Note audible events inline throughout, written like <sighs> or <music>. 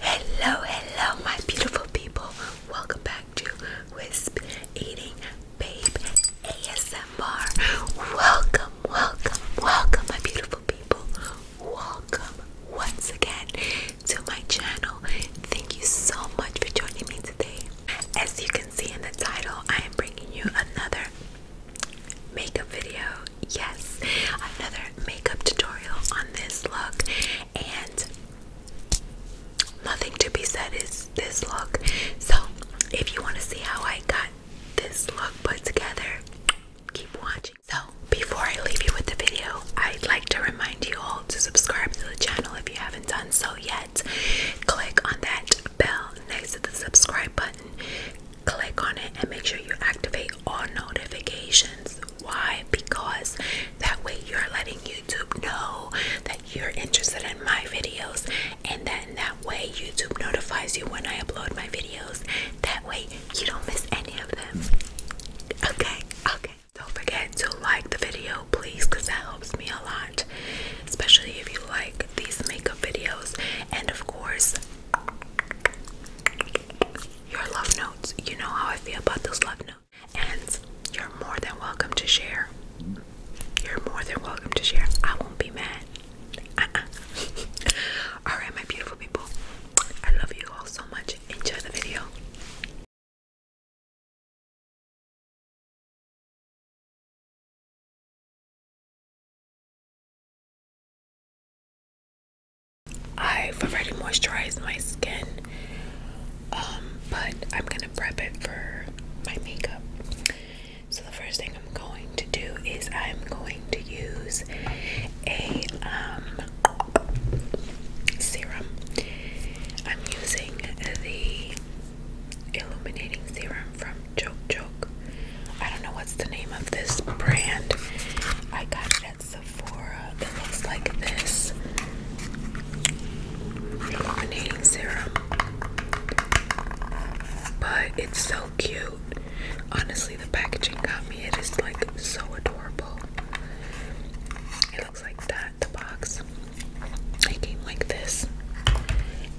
Hello, hello, my beautiful people. Welcome back to Wisp Eating Babe ASMR. Welcome, welcome, welcome, my beautiful people. Welcome once again to my channel. Thank you so much for joining me today. As you can see in the title, I am bringing you another makeup video. Yes, another makeup tutorial on this look and nothing to be said is this look. So, if you want to see how I got this look put together, keep watching. So, before I leave you with the video, I'd like to remind you all to subscribe to the channel if you haven't done so yet. Click on that bell next to the subscribe button, click on it, and make sure you activate all notifications. Why? Because that way you're letting YouTube know that you're interested in my videos, and then that way YouTube notifies you when I upload my videos. That way you don't miss any of them. Okay, okay. Don't forget to like the video, please, because that helps me a lot, especially if you like these makeup videos. And of course, your love notes. You know how I feel about those love notes. And you're more than welcome to share. You're more than welcome to share. I won't be mad. Uh-uh. <laughs> Alright, my beautiful people. I love you all so much. Enjoy the video. I've already moisturized my skin, um, but I'm gonna prep it for my makeup. So, the first thing I'm going to do is I'm going to use a um, serum. I'm using the illuminating serum from Choke Choke. I don't know what's the name of this brand, I got it Sephora that looks like this illuminating serum, but it's so cute. Honestly, the packaging got me, it is like so adorable. It looks like that, the box. It came like this,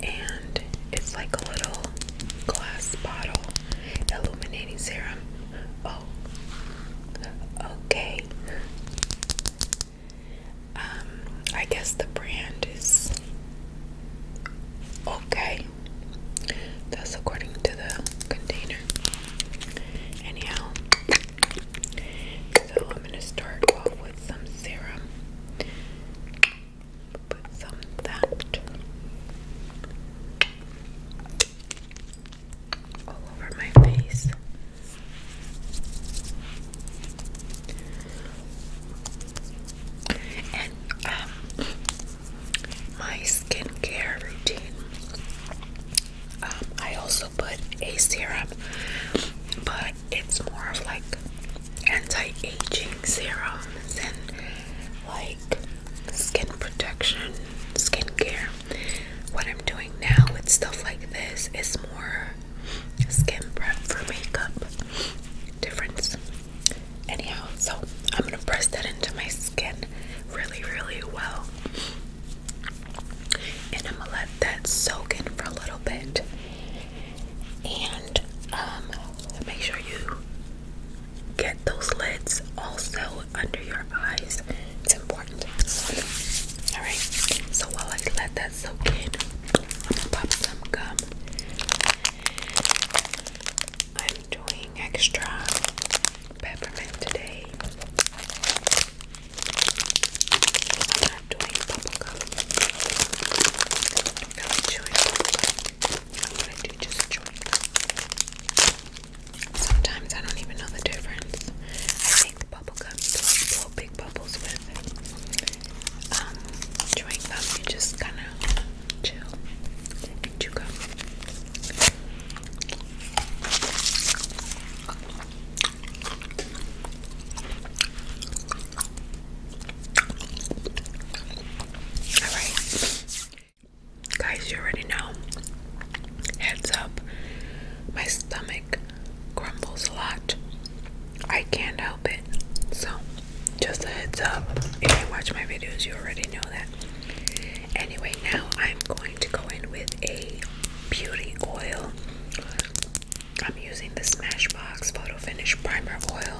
and it's like a little glass bottle illuminating serum. Oh, okay. Um, I guess the brand is okay. That's according to the container. Anyhow, so I'm gonna start off with some serum. Put some that all over my face. And um, my skincare routine. Um, I also put a serum, but it's more of like anti-aging serums and like skin protection skincare. What I'm doing now with stuff like this is more skin prep for makeup. Difference. Anyhow, so I'm gonna press that into my skin really, really well. And I'm gonna let that soak in for a little bit. And um, make sure you get those lids also under your eyes. It's important. Alright, so while I let that soak in, I'm gonna pop some gum. I'm doing extra peppermint today. I'm doing bubble gum. I'm not chewing gum. i do just chewing Sometimes I don't even know the difference. I make the bubble gum, blow big bubbles with um, chewing gum. You just kind of chill and chew gum. All right. Guys, you already know. Heads up, my stomach crumbles a lot. I can't help it. So, just a heads up. If you watch my videos, you already know that. Anyway, now I'm going to go in with a beauty oil. I'm using the Smashbox Photo Finish Primer Oil.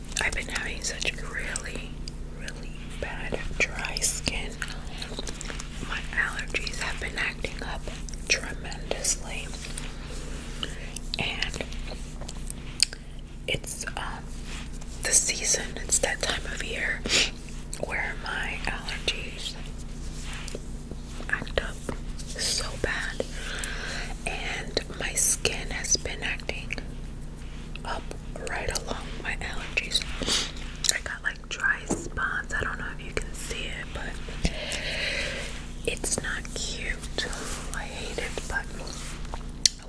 I've been having such really, really bad dry skin. My allergies have been acting up tremendously. And it's um, the season, it's that time of year where my allergies act up so bad. And my skin has been acting up right along my allergies. I got like dry spots. I don't know if you can see it, but it's not cute. I hate it, but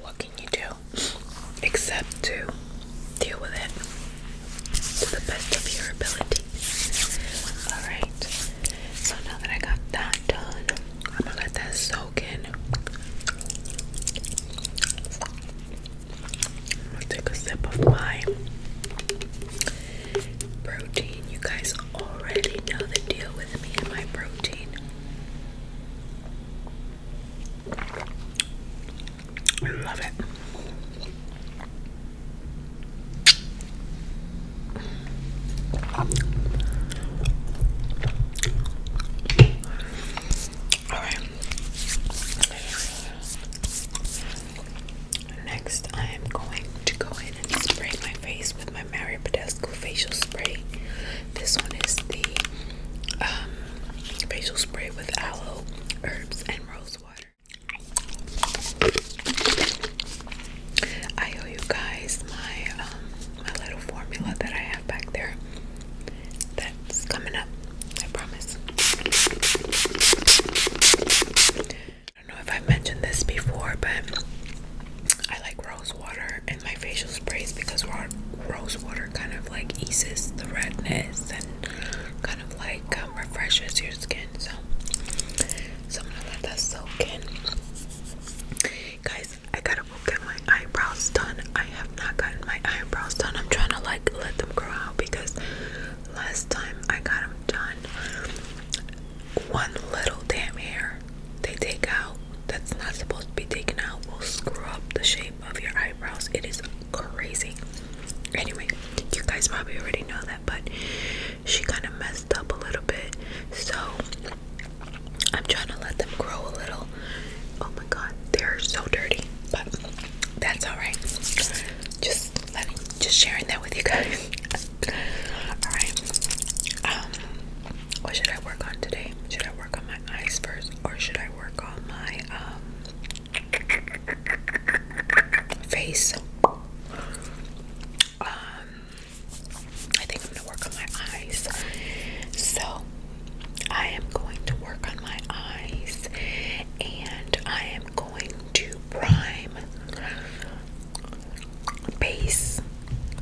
what can you do except to deal with it to the best of your ability? Alright, so now that I got that done, I'm gonna let that soak take a sip of my protein. You guys already know the deal with me and my protein. I love it. Next, I am going to go in and spray my face with my Mario Badescu facial spray. This one is the um, facial spray with aloe, herbs, and rose water. I owe you guys my um, my little formula that I have back there. That's coming up. I promise. I don't know if i mentioned this before, but I like rose water and my facial sprays because rose water kind of like eases the redness and kind of like um, refreshes your skin. So, so I'm gonna let that soak in, guys. I gotta get my eyebrows done. I have not gotten my eyebrows done. I'm trying to like let them grow out because last time I got them done, one little damn hair they take out that's not supposed to be taken out will screw up the shape of your eyebrows. It is crazy. Anyway, you guys probably already know that, but she kind of messed up a little bit. So I'm trying to let them grow a little. Oh my god, they're so dirty, but that's alright. Just just sharing that with you guys. <laughs> alright. Um, what should I work on today? Should I work on my eyes first, or should I work on my um face? Um, I think I'm gonna work on my eyes. So I am going to work on my eyes and I am going to prime base.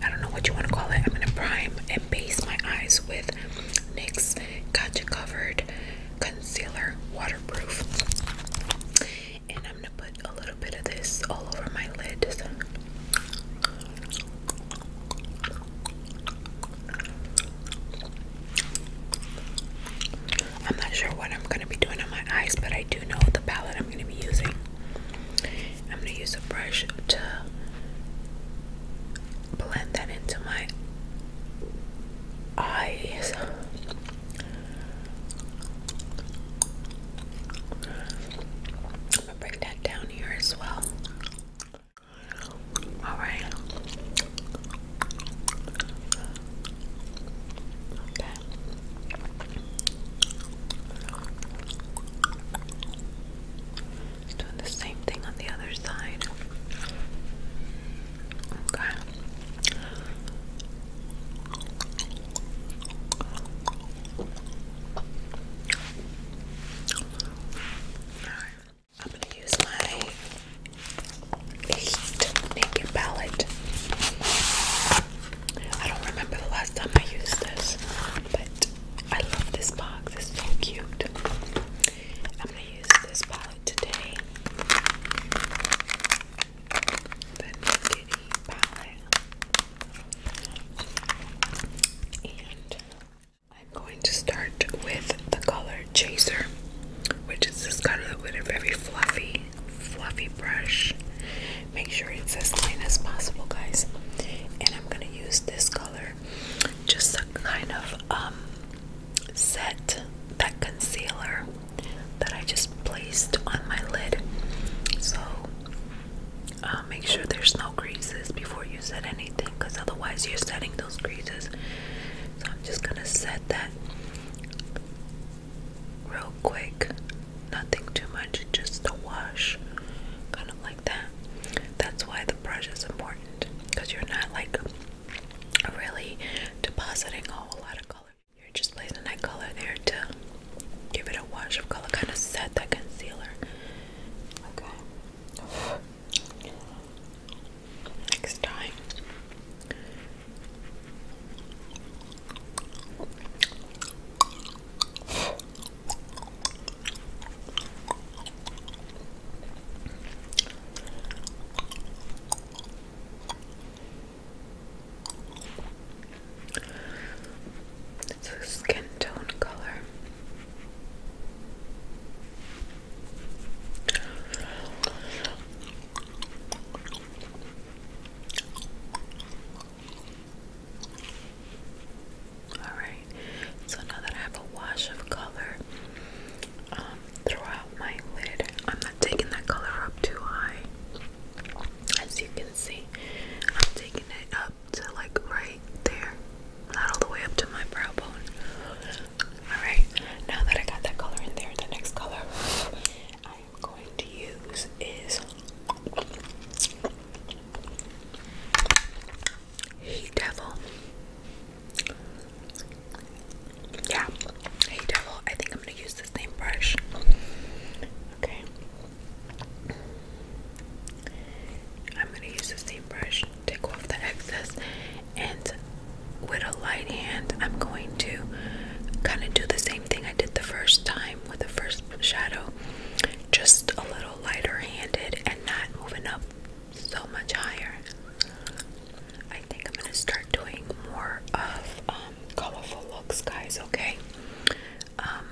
I don't know what you want to call it. I'm gonna prime and base my eyes with NYX Gotcha Covered Concealer Waterproof. And I'm gonna put a little bit of this all over my lid. I'm not sure what I'm going to be doing on my eyes, but I do know the palette I'm going to be using. I'm going to use a brush to blend that into my eyes. I'm gonna bring that down here as well. All right. doing the same thing on the other side. Okay. I'm going to use my Heat Naked palette. I don't remember the last time I used this, but I love this box. It's so cute. I'm going to use this palette today. The Naked palette. And I'm going to start with the color Chaser, which is this color with a very fluffy, fluffy brush. Make sure it's as clean as possible, guys. And I'm gonna use this color just to kind of um, set that concealer that I just placed on my lid. So uh, make sure there's no creases before you set anything because otherwise you're setting those creases so I'm just gonna set that real quick nothing too much just a wash kind of like that that's why the brush is important because you're not like really depositing a whole lot of color you're just placing that color there to give it a wash of color kind of set that concealer Okay. Next time. It's a skin tone color. Alright, so now that I have a wash of color um, throughout my lid, I'm not taking that color up too high. As you can see, I'm taking it up to like right there, not all the way up to my brow bone. Alright, now that I got that color in there, the next color <laughs> I am going to use is Heat Devil. Yeah, Heat Devil. I think I'm gonna use the same brush. Okay. I'm gonna use the same brush, take off the excess, and with a light hand, I'm going to kind of do the same thing I did the first time with the first shadow, just a little lighter handed and not moving up so much higher. I think I'm gonna start doing more of um, colorful looks, guys. Okay. Um,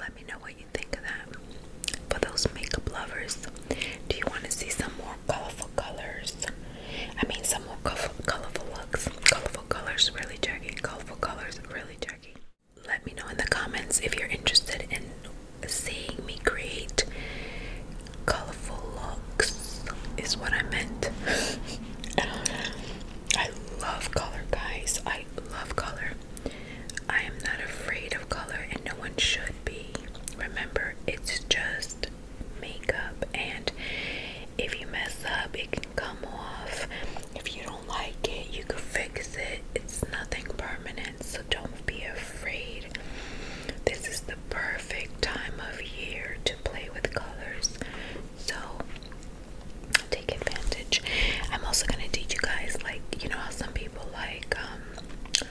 let me know what think of that. For those makeup lovers, do you want to see some more colorful colors? I mean, some more colorful, colorful looks. Colorful colors, really tricky, Colorful colors, really tricky. Let me know in the comments if you're interested in seeing me create colorful looks, is what I meant. <laughs> I love color, guys. I love color. I am not afraid of color, and no one should be. Remember, it's just makeup, and if you mess up, it can come off. If you don't like it, you can fix it. It's nothing permanent, so don't be afraid. This is the perfect time of year to play with colors. So, take advantage. I'm also gonna teach you guys like you know how some people like um,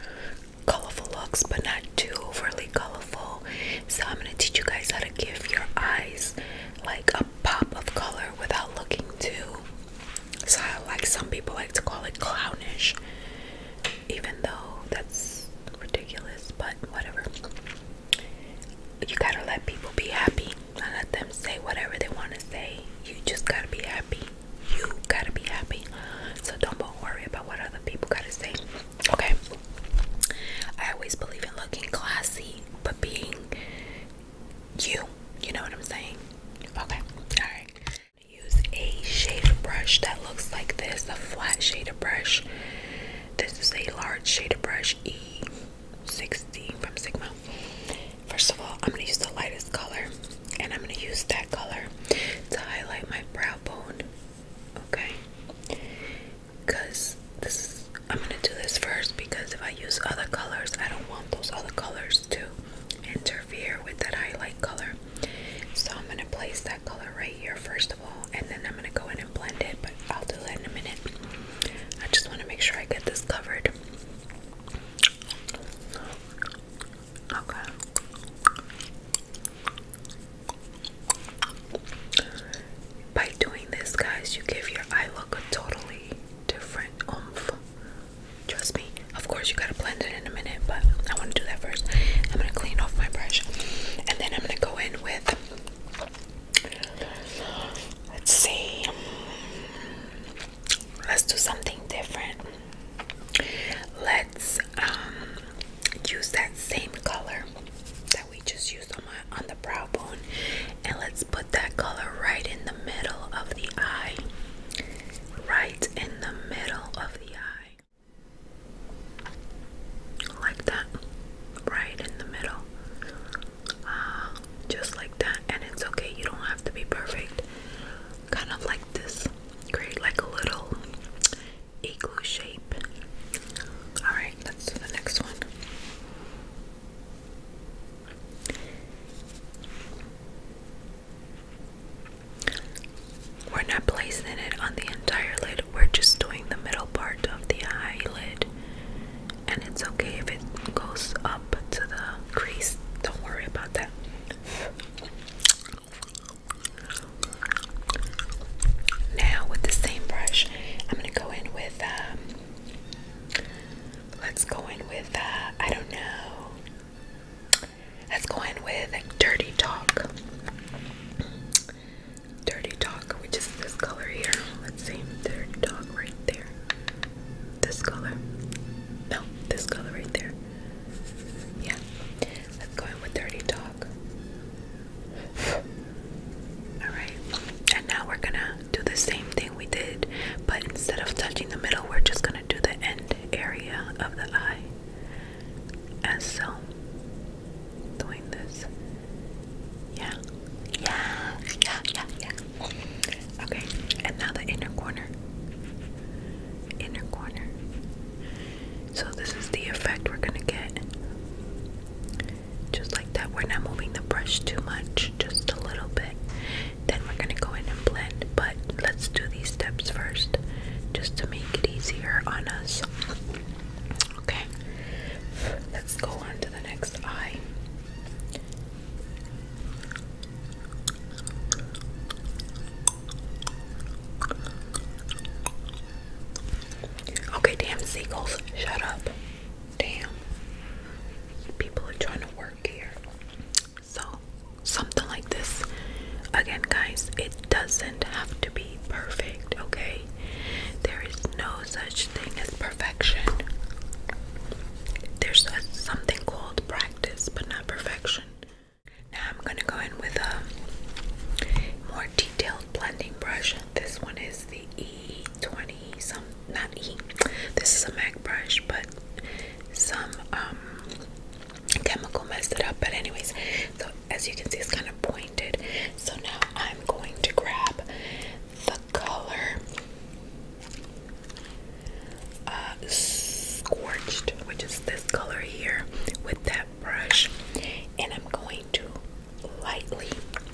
colorful looks but not too overly colorful. So I'm gonna teach you guys how to give your eyes like a pop of color without looking too so I like some people like to call it clownish even though that's ridiculous but whatever you gotta let people be happy I let them say whatever they want to say. You just gotta be happy. You gotta be happy. So don't worry about what other people gotta say. Okay. I always believe in looking classy, but being you. You know what I'm saying? Okay. Alright. Use a shader brush that looks like this, a flat shader brush. This is a large shader brush, E 16 from Sigma. First of all, I'm going to use the lightest color and I'm going to use that color to highlight my brow bone. Okay? Because this is, I'm going to do this first because if I use other colors, I don't want those other colors to interfere with that highlight color. So I'm going to place that color right here first of all and then I'm going to go in and blend it, but I'll do that in a minute. I just want to make sure I get this covered. Okay. By doing this, guys, you give your eye look a totally different oomph. Trust me. Of course, you gotta blend it in a minute, but I want to do that first. I'm gonna clean off my brush, and then I'm gonna go in with. Let's see let's do something different. Let's um, use that same color that we just used on my on the brow bone, and let's put that color right in the middle of the eye. Right in the middle of the eye, like that. Right in the middle. Um, just like that and it's okay you don't have to be perfect kind of like this create like a little igloo shape all right let's do the next one we're not placing it on the entire lid we're just doing the middle part of the eyelid and it's okay if it goes up to the crease. Don't worry about that. Now, with the same brush, I'm gonna go in with, um, let's go in with, uh, I don't know, let's go in with Dirty Talk. Dirty Talk, which is this color here. Let's see, Dirty Talk right there. This color. No, this color right there. Yeah. Let's go in with Dirty Dog. <sighs> Alright. And now we're gonna do the same thing we did, but instead of touching the middle, we're just gonna do the end area of the eye. And so doing this. Yeah. Yeah. Yeah. Yeah. Yeah. Okay, and now the inner corner. Inner corner. So, this is the effect we're gonna get. Just like that, we're not moving the brush too much, just a little bit. Then we're gonna go in and blend, but let's do these steps first just to make it easier on us. Okay, let's go on to the next eye. Okay, damn seagulls, shut up. Damn. People are trying to work here. So, something like this. Again, guys, it doesn't have to be perfect, okay? There is no such thing as perfection there's something called practice but not perfection. Now I'm gonna go in with a more detailed blending brush. This one is the E20 some not E. This is a MAC brush, but some um, chemical messed it up. But anyways, so as you can see it's kind of pointed. So now I'm going to grab the color uh, scorched, which is this color here, with that brush, and I'm going to lightly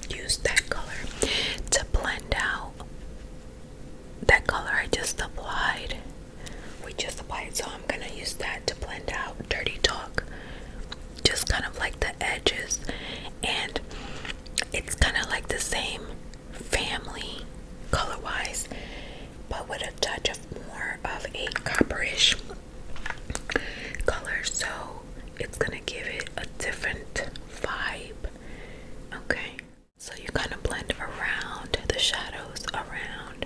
use that color to blend out that color I just applied. We just applied, so I'm gonna use that to blend out Dirty Talk, just kind of like the edges, and it's kind of like the same family color wise, but with a touch of more of a copperish color, so it's gonna give it a different vibe. Okay, so you kind of blend around the shadows, around,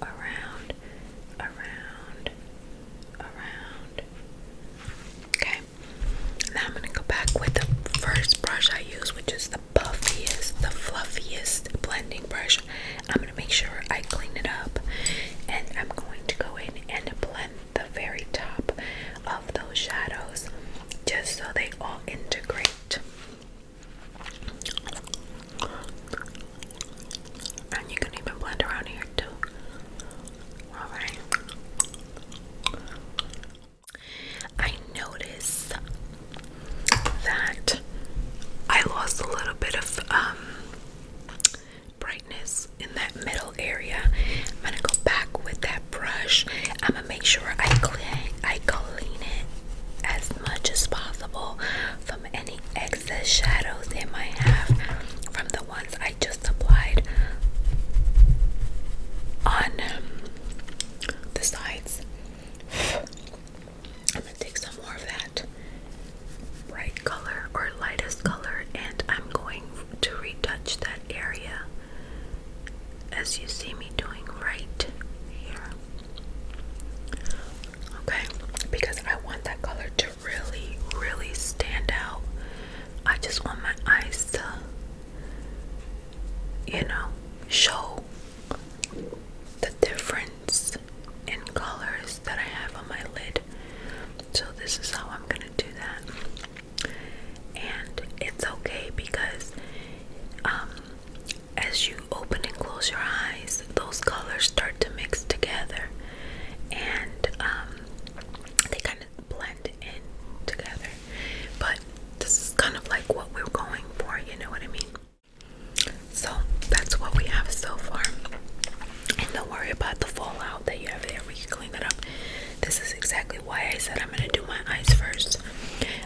around, around, around. Okay, now I'm gonna go back with the first brush I use, which is puffiest, the fluffiest blending brush. I'm going to make sure I clean it up and I'm going to go in and blend the very top of those shadows just so they all integrate. And you can even blend around here too. Alright. I notice that I lost a little bit of um, brightness in that middle area. I'm gonna go back with that brush. I'm gonna make sure I clean, I clean it as much as possible from any excess shadows it might have from the ones I just applied on um, the sides. I'm gonna take some more of that bright color or lightest color, and I'm going to retouch that area as you see me doing right here. Okay, because I want that color to really, really stand out. I just want my eyes to you know, show the difference in colors that I have on my lid. So, this is how I'm gonna do that. And it's okay because um, as you open and close your eyes, those colors start to mix together and um, they kind of blend in together. But this is kind of like what we're going for, you know what I mean? So that's what we have so far. And don't worry about the fallout that you have there. We can clean that up. This is exactly why I said I'm gonna do my eyes first.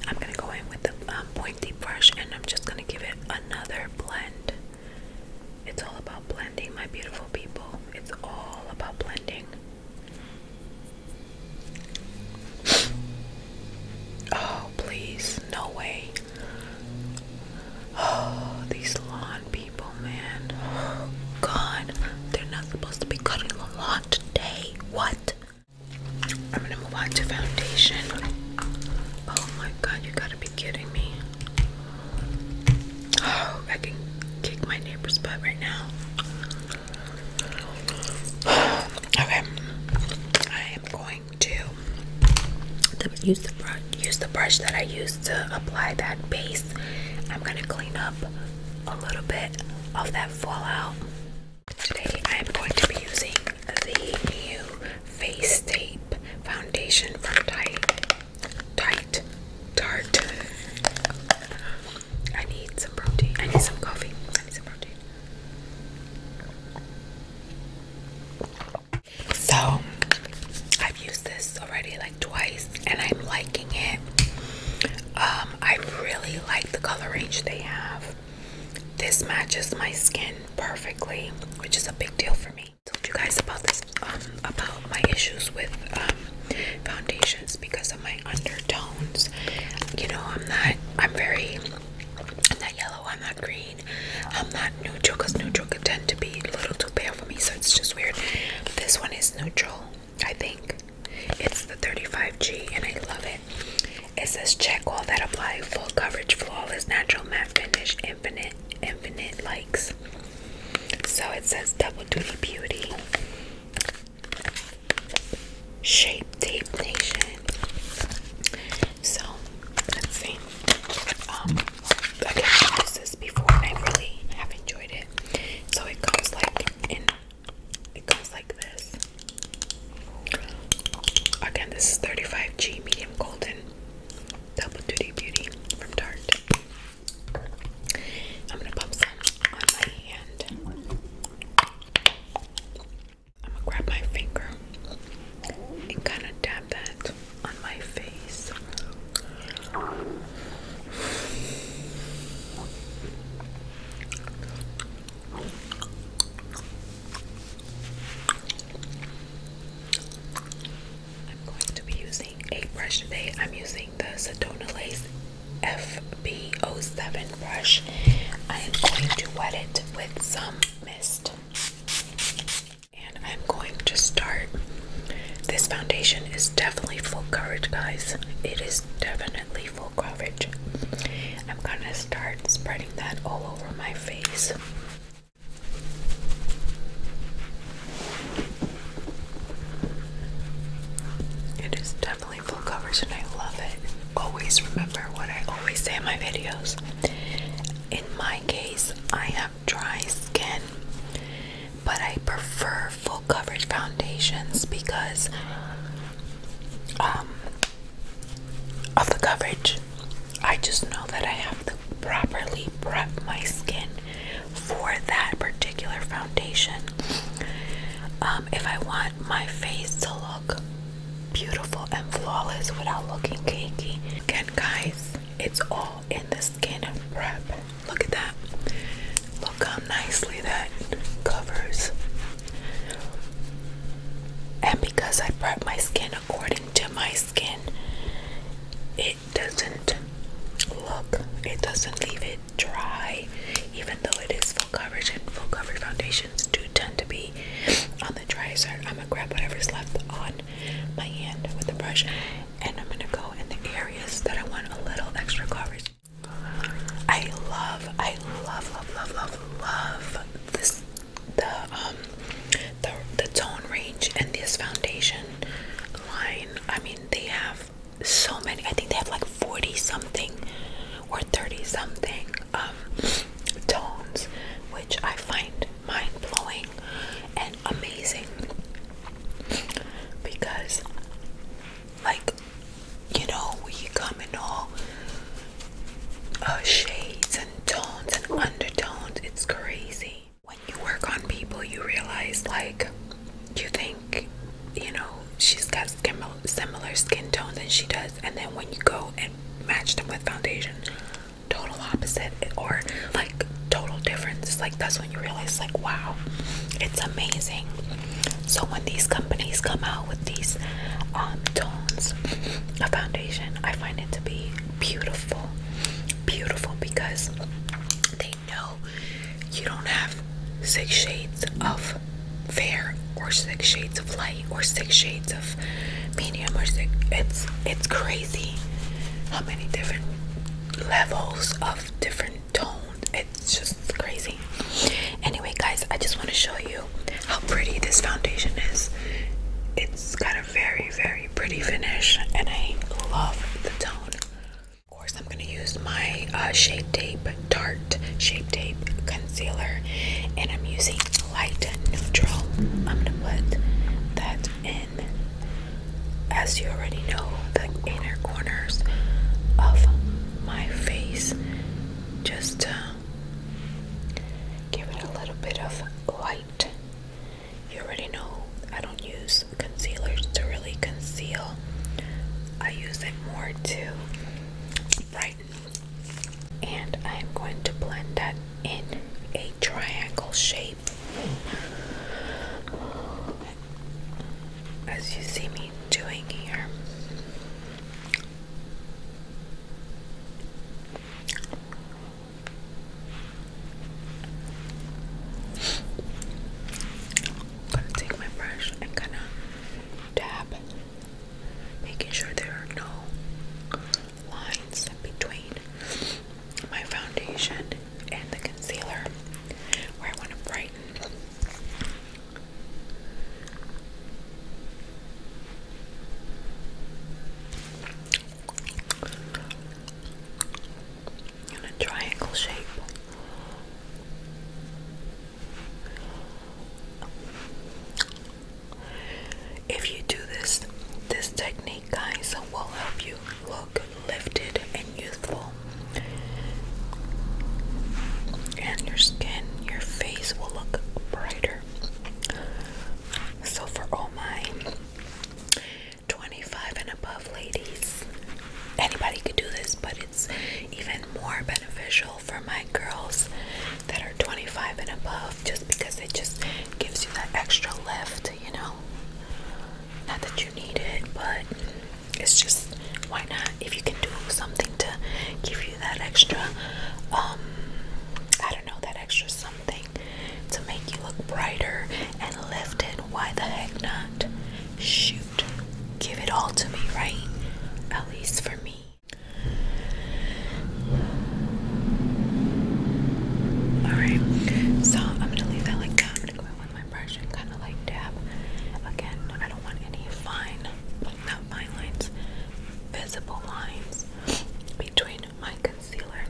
I'm gonna go in with a um, pointy brush and I'm just gonna give it another blend. It's all about blending, my beautiful people. It's all about blending. Oh, please. No way. Oh, these lawn people, man. Oh, <gasps> God. They're not supposed to be cutting the lawn today. What? I'm gonna move on to foundation. Oh my god, you gotta be kidding me. Oh, I can kick my neighbor's butt right now okay, I am going to use the brush, that I used to apply that base. I'm gonna clean up a little bit of that fallout. Today I am going to be using the new face tape foundation from Tight, Tite, Tarte. I need some protein. I need some coffee. I need some protein. So, I've used this already like twice and I'm liking it. Um, I really like the color range they have. This matches my skin perfectly, which is a big deal for me. I told you guys about this, um, about my issues with um, foundations because my undertones. You know, I'm not, I'm very, I'm not yellow, I'm not green, I'm not neutral neutral could tend to be a little too pale for me, so it's just weird. this one is neutral, I think. It's the 35G and I love it. It says check all that apply, full coverage, flawless, natural matte finish, infinite, infinite likes. So it says double duty beauty. Shape Tape Nation. So let's see. again, um, I've before I really have enjoyed it. So it comes like it comes like this. Again, this is 35G medium golden double duty beauty from Tarte. I'm gonna pop some on my hand. I'm gonna grab my finger and kind of dab that on my face. I'm going to be using a brush today. I'm using the Sedona Lace fbo 7 brush. I am going to wet it with some mist. And I'm going to start. This foundation is definitely full coverage, guys. It is definitely full coverage. I'm going to start spreading that all over my face. It is definitely full coverage and I love it. Always remember what I always say in my videos. In my case, I have dry skin, but I prefer full coverage foundations because um, of the coverage. I just know that I have to properly prep my skin for that particular foundation. Um, if I want my face to look beautiful and flawless without looking cakey. Again, guys, it's all in the skin prep. Look at that. Look how nicely that covers. And because I prep my skin according to my skin, it doesn't look, it doesn't leave it dry, even though it is full coverage and full coverage foundations do tend to be on the dry side. I'm gonna grab whatever's left on my hand with the brush and I'm gonna go in the areas that I want a little extra coverage. I love, I love, love, love, love, love this the um the the tone range and this foundation line. I mean they have so many I think they have like 40 something or 30 something um, tones, which I find mind blowing and amazing because, like, you know, we come in all uh, shades and tones and undertones, it's crazy. When you work on people, you realize, like, you think, you know, she's got similar skin tone than she does, and then when you go and match them with foundation, total opposite or like total difference. Like that's when you realize, like, wow, it's amazing. So when these companies come out with these um, tones of foundation, I find it to be beautiful, beautiful because they know you don't have six shades of fair or six shades of light or six shades of medium or six it's it's crazy how many different levels of different tones it's just crazy anyway guys i just want to show you how pretty this foundation is it's got a very very pretty finish and i love the tone of course i'm going to use my uh, shade tape Tarte Shape Tape Concealer, and I'm using Light Neutral. I'm gonna put that in, as you already know, the inner corners of my face, just to uh, give it a little bit of light. You already know I don't use concealers to really conceal. I use it more to right? And I'm going to blend that in a triangle shape. As you see me doing here. gonna take my brush and kind of dab making sure there are no lines between my foundation and the concealer where I want to brighten. In a triangle shape. If you do this, this technique, guys, will help you look lifted and youthful. And your skin, your face will look brighter. So, for all my 25 and above ladies, anybody could do this, but it even more beneficial for my girls that are 25 and above just because it just gives you that extra lift, you know. Not that you need it, but it's just why not if you can do something to give you that extra um I don't know that extra something to make you look brighter and lifted, why the heck not? Shoot. Give it all to me, right? At least for me. Alright, so I'm gonna leave that like that. I'm gonna go in with my brush and kind of like dab. Again, I don't want any fine, not fine lines, visible lines between my concealer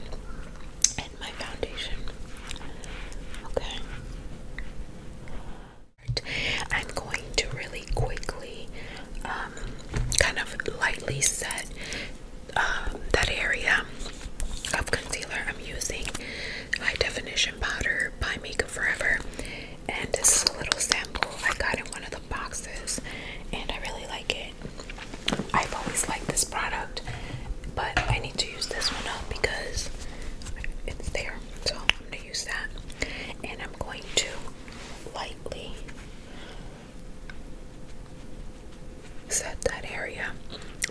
and my foundation. Okay. I'm going to really quickly um, kind of lightly set um, that area of concealer. I'm using high definition powder by Makeup Forever, and this is a little sample I got in one of the boxes, and I really like it. I've always liked this product, but I need to use this one up because it's there, so I'm gonna use that, and I'm going to lightly set that area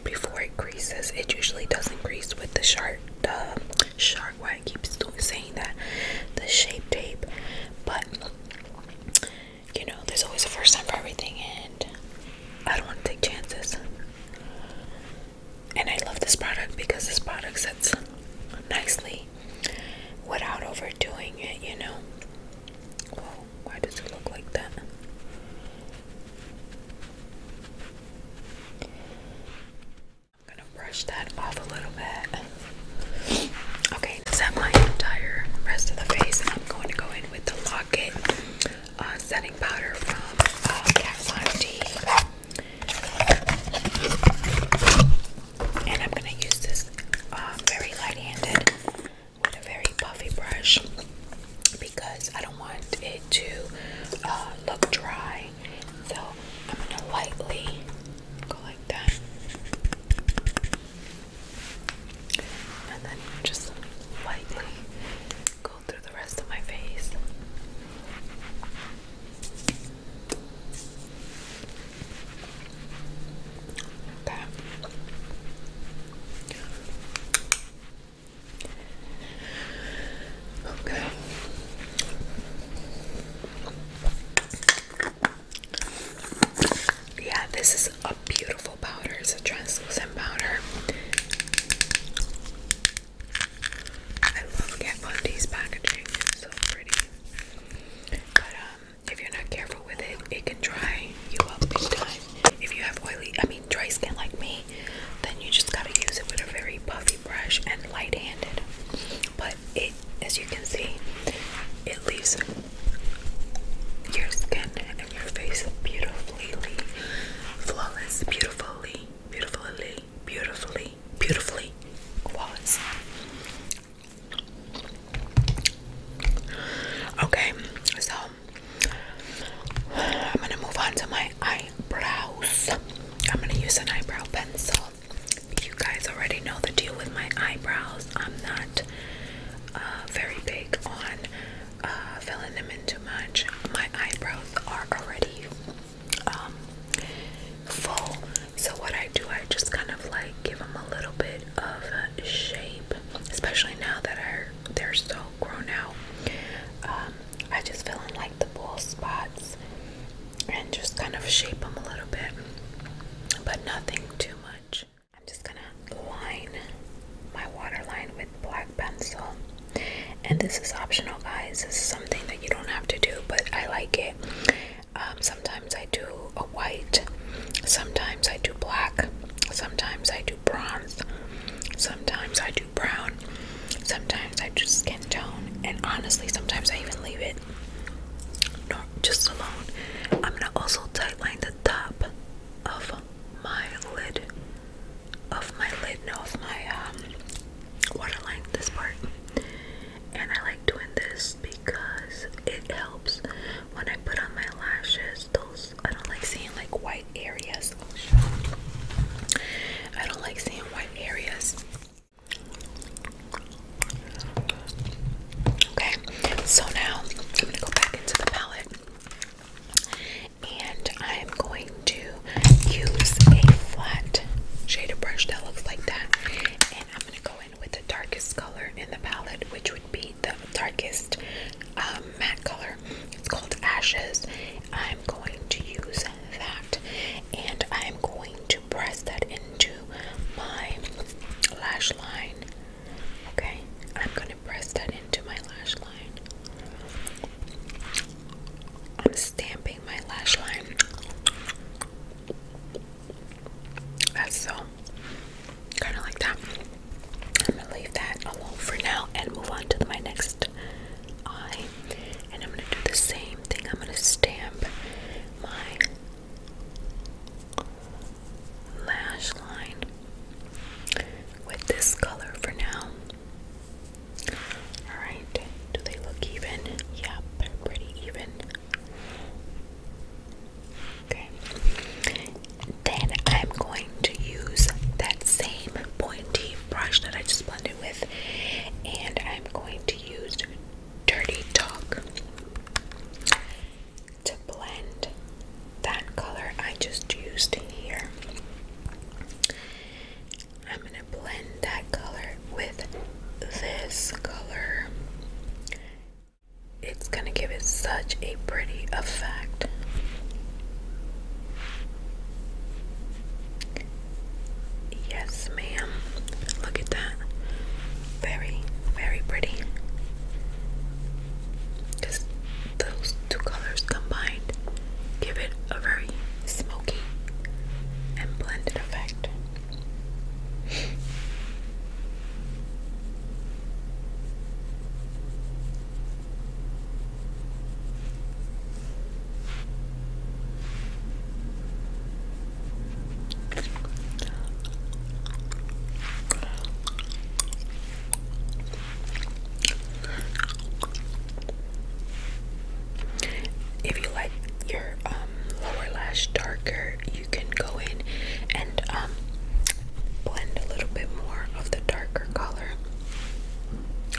before it creases. It usually doesn't crease with the sharp, the sharp. Why I keep saying that, the shape tape, but you know, there's always a first time for everything, and I don't want to take chances. And I love this product because this product sets nicely without overdoing it, you know. Whoa, why does it look like that? I'm gonna brush that off a little bit. Okay, is my entire rest of the face? And I'm going to go in with the Locket uh, setting powder from uh, Kat Von D. And I'm going to use this uh, very light handed with a very puffy brush because I don't want it to uh, look dry. So I'm going to lightly go like that. And then just lightly go through the rest of my face. Okay. Okay. Yeah, this is a beautiful powder. It's a translucent powder. I love Kat Von D's packaging. It's so pretty. But um, if you're not careful with it, it can dry you up big time. If you have oily, I mean dry skin like me, then you just gotta use it with a very puffy brush and light-handed. But it, as you can see, it leaves your skin and your face beautifully, flawless, beautifully, beautifully, beautifully, beautifully flawless. Okay, so I'm gonna move on to my eyebrows. I'm gonna use an eyebrow pencil. You guys already know the deal with my eyebrows. I'm not uh, very big on uh, filling them in too much. My eyebrows are already um, full. So what I do, I just kind of like give them a little bit of shape, especially now that I, they're so grown out. Um, I just fill in like the bald spots and just kind of shape them a little bit, but nothing too much. I'm just gonna line my waterline with black pencil. And this is optional, guys. This is something that you don't have to do, but I like it. Um, sometimes I do a white, sometimes I do black, sometimes I do bronze, sometimes I do brown, sometimes I do skin tone, and honestly, sometimes I even leave it no, just alone. I'm gonna also tightline the top of my lid, of my lid, no, of my um, waterline, this part and I like doing this because it helps when I put on my lashes those I don't like seeing like white areas I don't like seeing white areas okay so now I'm gonna go back into the palette and I'm going to use a flat shader brush that looks like that and I'm gonna go in with the darkest color in the palette, which would be the darkest um, matte color. It's called Ashes. I'm going to use that and I'm going to press that into my lash line. Okay, I'm going to press that into my lash line. I'm stamping my lash line. That's so kind of like that. I'm gonna leave that alone for now and move on to my next eye. And I'm gonna do the same thing. I'm gonna stamp my lash line with this color for now. Alright, do they look even? Yep, pretty even. Okay. Then I'm going to use that same pointy brush that I just blended with, and I'm going to use Dirty Talk to blend that color I just used here. I'm going to blend that color with this color. It's going to give it such a pretty effect. Yes, ma'am. Look at that. Very, very pretty. Because those two colors combined give it a very smoky and blended effect. If you like your um, um, lower lash darker, you can go in and um, blend a little bit more of the darker color,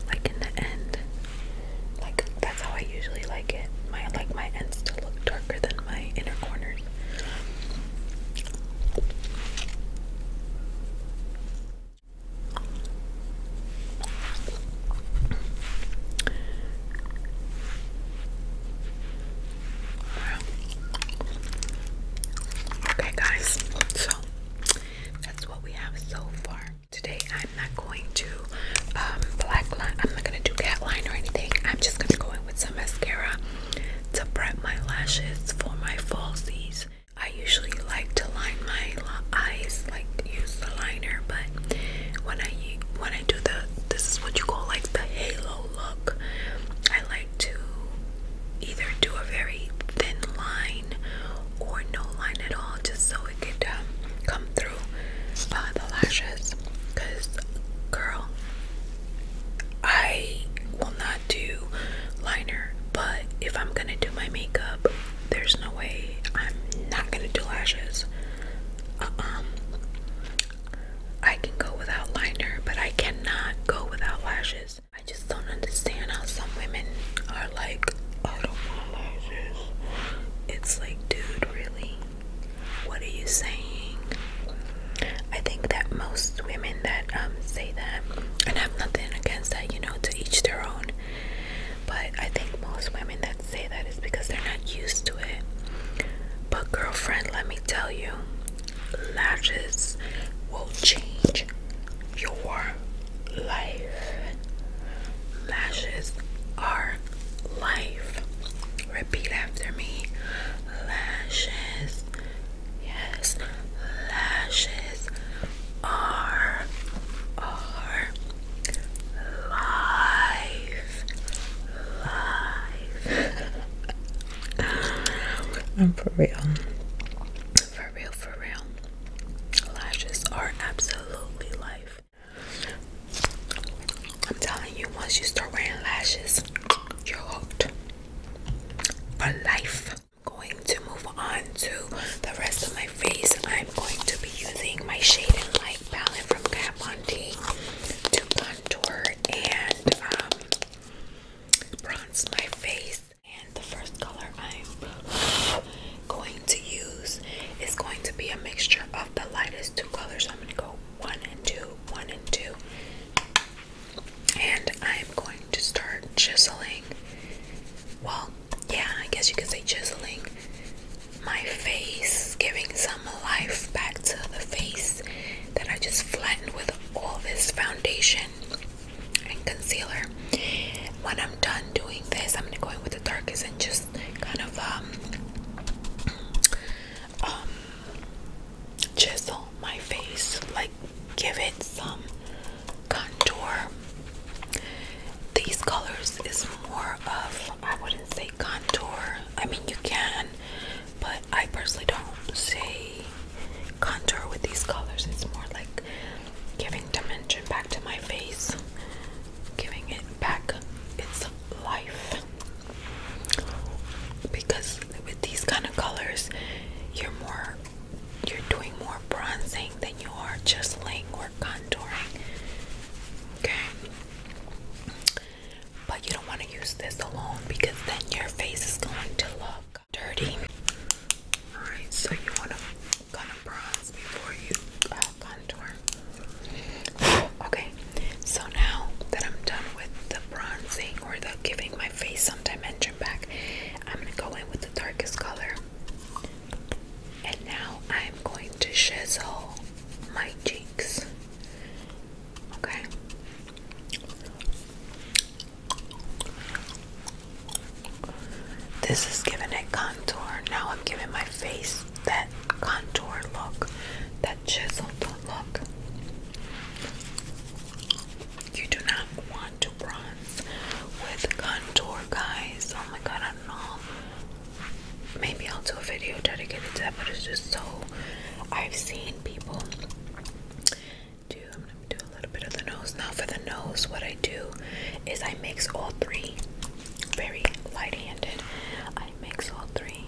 like in the end. Like that's how I usually like it. I like my ends to look darker than my inner corners. Okay, guys, so that's what we have so far. Today, I'm not going to um, black line, I'm not gonna do cat line or anything. I'm just gonna go in with some mascara to prep my lashes for my falsies. I usually like to line my eyes, like use the liner, but when I use when I do the this is what you call like the halo look. I like to either do a very thin line or no line at all, just so it could um, come through uh, the lashes. Cause girl, I will not do liner, but if I'm gonna do my makeup, there's no way I'm not gonna do lashes. um, I can go without liner, but I cannot go without lashes. I just don't understand how some women are like, I don't want lashes. It's like, dude, really? What are you saying? I think that most women that um, say that, and I have nothing against that, you know, to each their own, but I think most women that say that is because they're not used to it. But, girlfriend, let me tell you, lashes will change your life. Lashes are life. Repeat after me lashes, yes, lashes are, are life live. <laughs> I'm for real. For real, for real. Lashes are absolutely life. I'm telling you, once you start wearing lashes, you're hooked. For life. going to move on to the rest of my face. I'm going to be using my shade and light palette from Kat Von D to contour and um, bronze my face. And the first color I'm <sighs> going to use is going to be a mixture of the lightest two colors. So I'm going to go one and two, one and two. And I'm going to start chiseling. Well, yeah, I guess you could say chiseling my face, giving some life back to the face that I just flattened with all this foundation and concealer. When I'm done doing this, I'm gonna go in with the darkest and just kind of um, um chisel my face, like give it some contour. These colors is more of I wouldn't say contour. I mean, you can, but I personally don't say contour with these colors. It's more like giving dimension back to my face, giving it back its life. Because with these kind of colors, you're more you're doing more bronzing than you are just laying or contouring. Okay. But you don't want to use this alone because then your face is going to look dirty. Alright, so you want to kind of bronze before you uh, contour. <sighs> Okay, so now that I'm done with the bronzing or the giving my face some dimension back, I'm going to go in with the darkest color. And now I'm going to chisel my cheeks. Okay. This is giving it contour. Now I'm giving my face that contour look, that chiseled look. You do not want to bronze with contour, guys. Oh my god, I don't know maybe I'll do a video dedicated to that, but it's just so I've seen people do. I'm gonna do a little bit of the nose now. For the nose, what I do is I mix all three very light-handed. I mix all three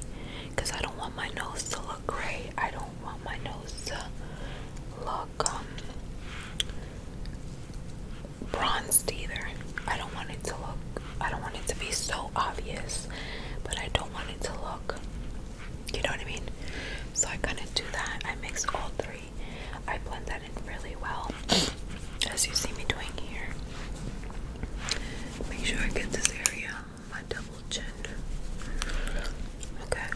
because I don't want my nose to look gray. I don't want my nose to look um, bronzed either. I don't want it to look I don't want it to be so obvious, but I don't want it to look, you know what I mean? So I kind of do that. I mix all three. I blend that in really well, <clears throat> as you see me doing here. Make sure I get this area my double chin. Okay.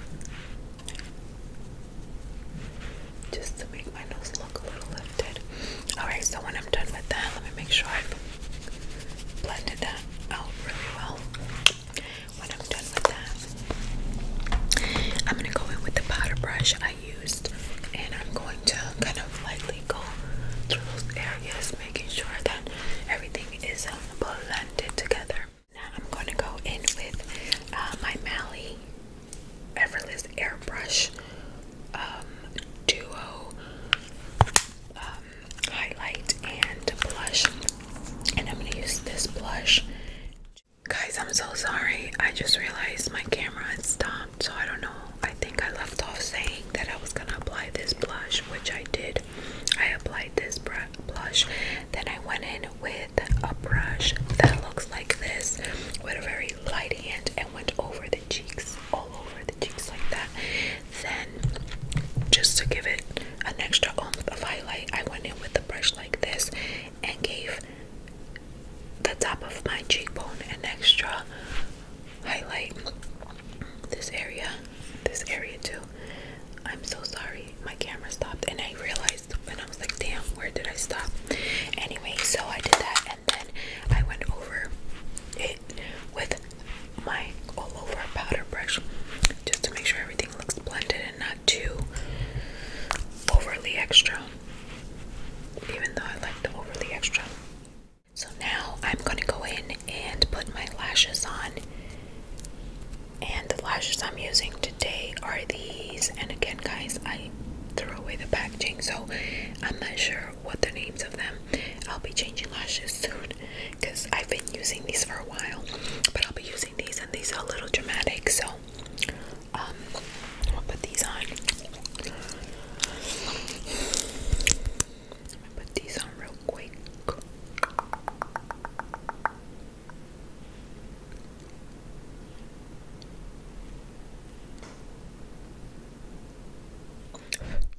Just to make my nose look a little lifted. Alright, so when I'm done with that, let me make sure I've blended that out really well. When I'm done with that, I'm going to go in with the powder brush I used and I'm going to kind of lightly go through those areas, making sure that everything is um, blended together. Now I'm going to go in with uh, my Mally Everlast Airbrush um, Duo uh, highlight and blush. And I'm gonna use this blush. Guys, I'm so sorry. I just realized my camera had stopped, so I don't know. I think I left off saying that I was gonna apply this blush, which I did. I applied this blush. Then I went in with a brush that looks like this with a very light hand and went over the cheeks, all over the like that. Then, just to give it an extra oomph of highlight, I went in with a brush like this and gave the top of my cheekbone an extra highlight. This area, this area too. I'm so sorry, my camera stopped, and I realized, and I was like, damn, where did I stop? Anyway, so I did that, and then I went over it with my all over powder brush just to make sure everything looks blended and not too overly extra. Even though I like the overly extra. So now I'm going to go in and put my lashes on. And the lashes I'm using today are these. And again, guys, I threw away the packaging, so I'm not sure what the names of them. I'll be changing lashes soon because I've been using these for a while, but I'll be using these, and these are a little dramatic, so um, I'll put these on. i put these on real quick.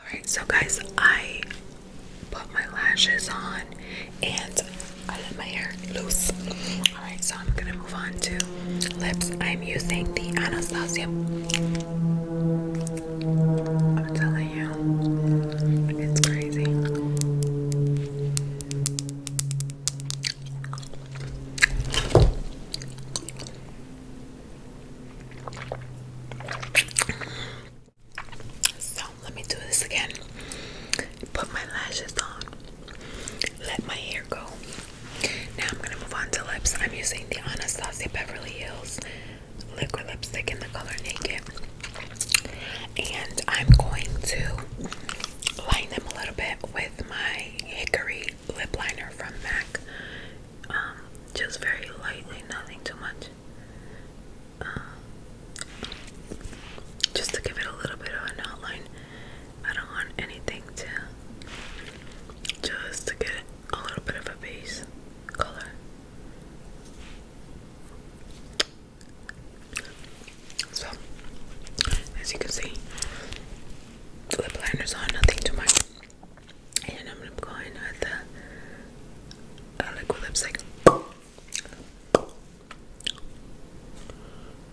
Alright, so guys, I put my lashes on and I let my hair loose. Alright, so I'm gonna move on to lips. I'm using the Anastasia. I'm telling you, it's crazy. So let me do this again. Put my lashes on. Let my hair go. Now I'm gonna move on to lips. I'm using the Anastasia Beverly Hills liquid lipstick in the color Naked, and I'm going to line them a little bit with my hickory lip liner from MAC. Um, just very lightly, nothing too much. Um, just to give it a little bit of an outline. I don't want anything to just to get a little bit of a base color. So, as you can see, lip liners on, nothing too much and I'm going with the uh, liquid lipstick.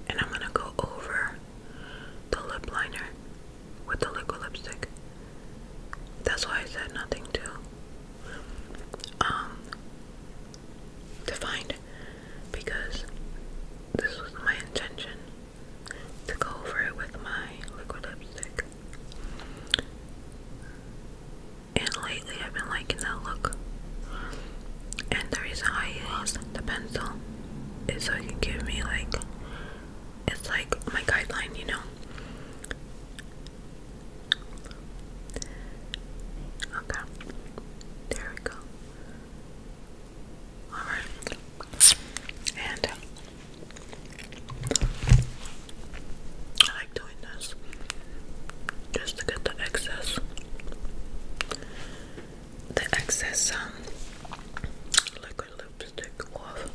And I'm gonna go over the lip liner with the liquid lipstick. That's why I said nothing to um defined because this was my intention to go over it with my liquid lipstick. And lately I've been liking that look. And the reason I use the pencil is so it can give me like it's like my guideline, you know. Okay. There we go. Alright. And I like doing this just to get the excess the excess um liquid lipstick off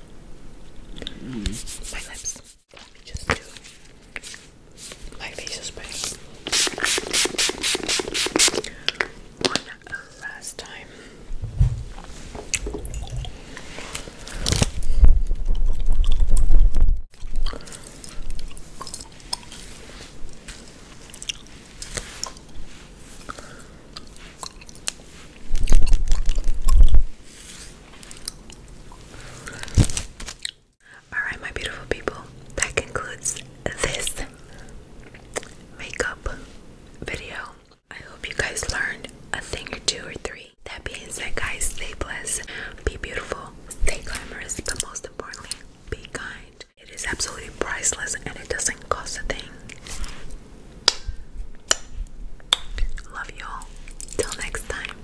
mm-hmm. my lips. my facial spray one last time. Alright, my beautiful people, that concludes this makeup video. I hope you guys learned a thing or two or three. That being said, guys, stay blessed, be beautiful, stay glamorous, but most importantly, be kind. It is absolutely priceless and it doesn't cost a thing. Love y'all. Till next time.